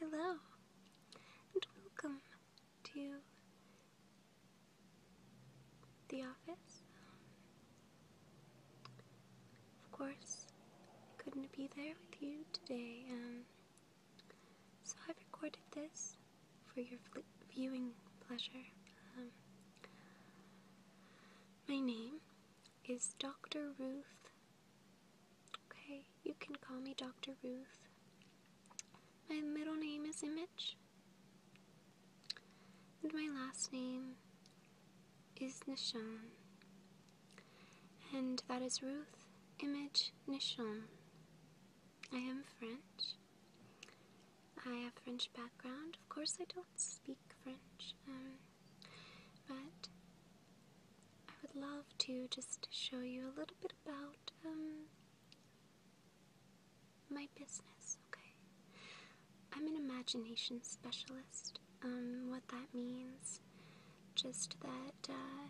Hello, and welcome to the office. Of course, I couldn't be there with you today, um, so I've recorded this for your viewing pleasure. Um, my name is Dr. Ruth Okay, you can call me Dr. Ruth. My middle name is Image, and my last name is Nishon. and that is Ruth Image Nishon. I am French. I have French background. Of course, I don't speak French, um, but I would love to just show you a little bit about um, my business, okay? I'm an imagination specialist. Um, what that means, just that, uh,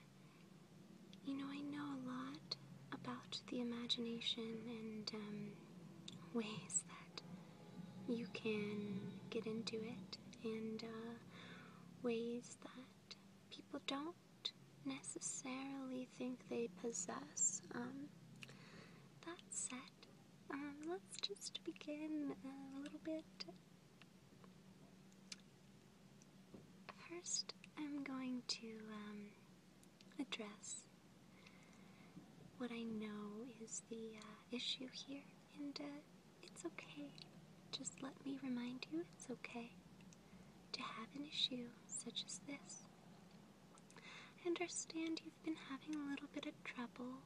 you know, I know a lot about the imagination and um, ways that you can get into it in uh, ways that people don't necessarily think they possess. Um, that said, um, let's just begin a little bit. First, I'm going to um, address what I know is the uh, issue here, and uh, it's okay. Just let me remind you it's okay to have an issue such as this. I understand you've been having a little bit of trouble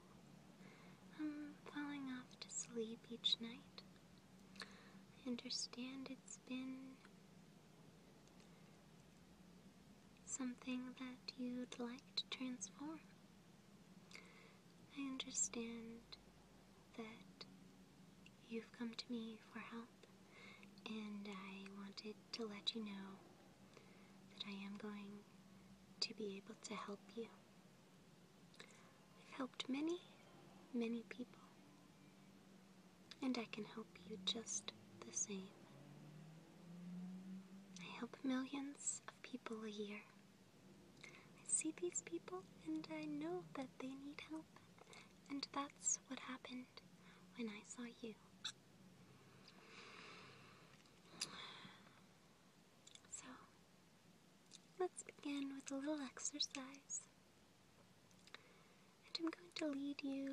um, falling off to sleep each night. I understand it's been Something that you'd like to transform. I understand that you've come to me for help, and I wanted to let you know that I am going to be able to help you. I've helped many, many people, and I can help help you just the same. I help millions of people a year. I see these people and I know that they need help. And that's what happened when I saw you. So, let's begin with a little exercise. And I'm going to lead you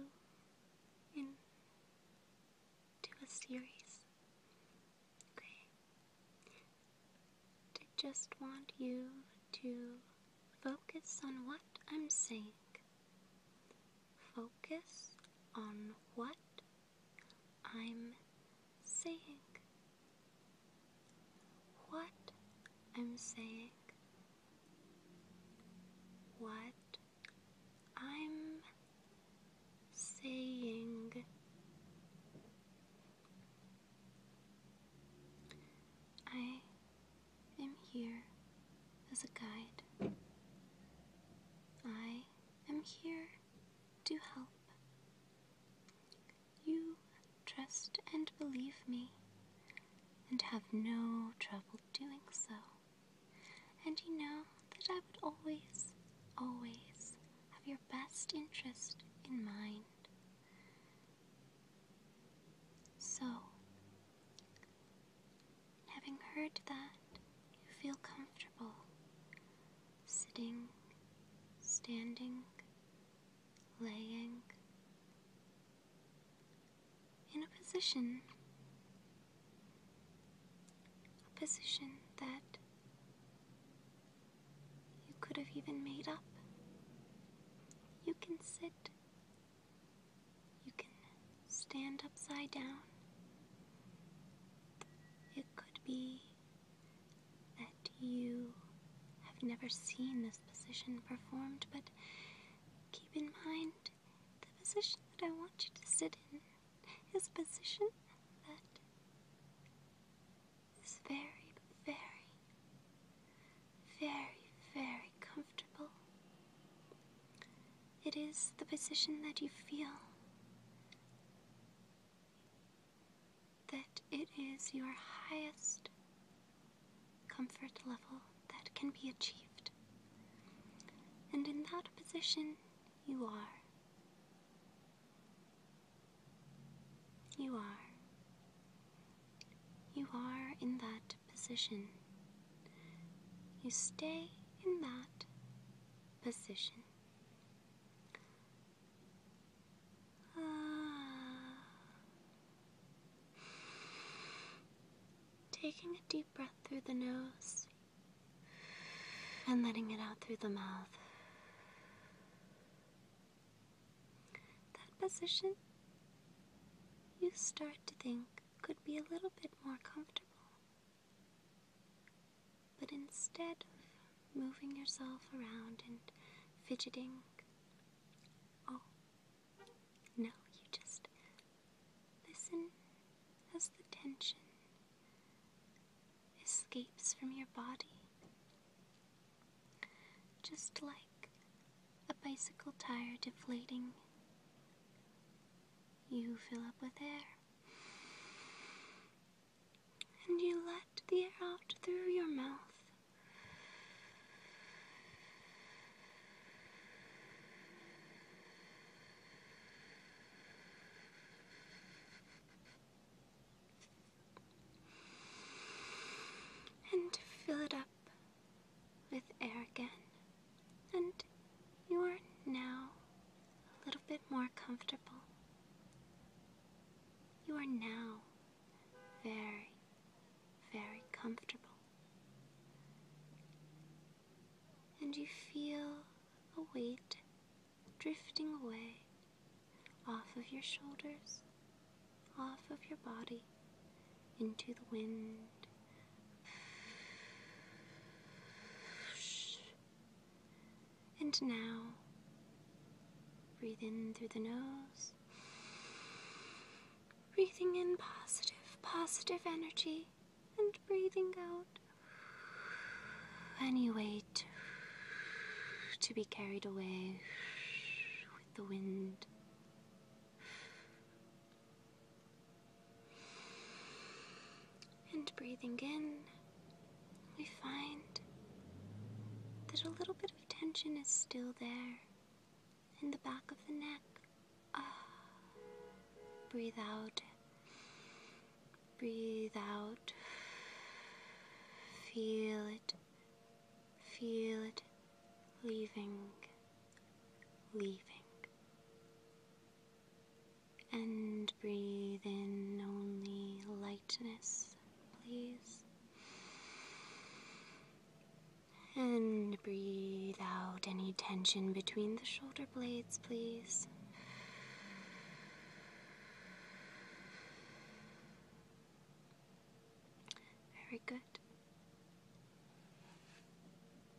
in do a series. Okay? I just want you to focus on what I'm saying. Focus on what I'm saying. What I'm saying what I'm saying. I am here as a guide. I am here to help. You trust and believe me and have no trouble doing so. And you know that I would always, always have your best interest in mind. So, having heard that, you feel comfortable sitting, standing, laying, in a position, a position that you could have even made up. You can sit, you can stand upside down. It could be that you have never seen this position performed, but keep in mind the position that I want you to sit in is a position that is very, very, very, very comfortable. It is the position that you feel that it is your highest comfort level that can be achieved. And in that position, you are. You are. You are in that position. You stay in that position. Taking a deep breath through the nose and letting it out through the mouth. That position you start to think could be a little bit more comfortable. But instead of moving yourself around and fidgeting, oh, no, you just listen as the tension escapes from your body. Just like a bicycle tire deflating, you fill up with air and you let the air out through your mouth. And fill it up with air again, and you are now a little bit more comfortable. You are now very, very comfortable. And you feel a weight drifting away off of your shoulders, off of your body, into the wind. And now, breathing in through the nose, breathing in positive, positive energy, and breathing out any weight to be carried away with the wind. And breathing in, we find that a little bit of tension is still there in the back of the neck. Ah, breathe out. Breathe out. Feel it. Feel it leaving, leaving and breathe in only lightness, please. And breathe out any tension between the shoulder blades, please. Very good.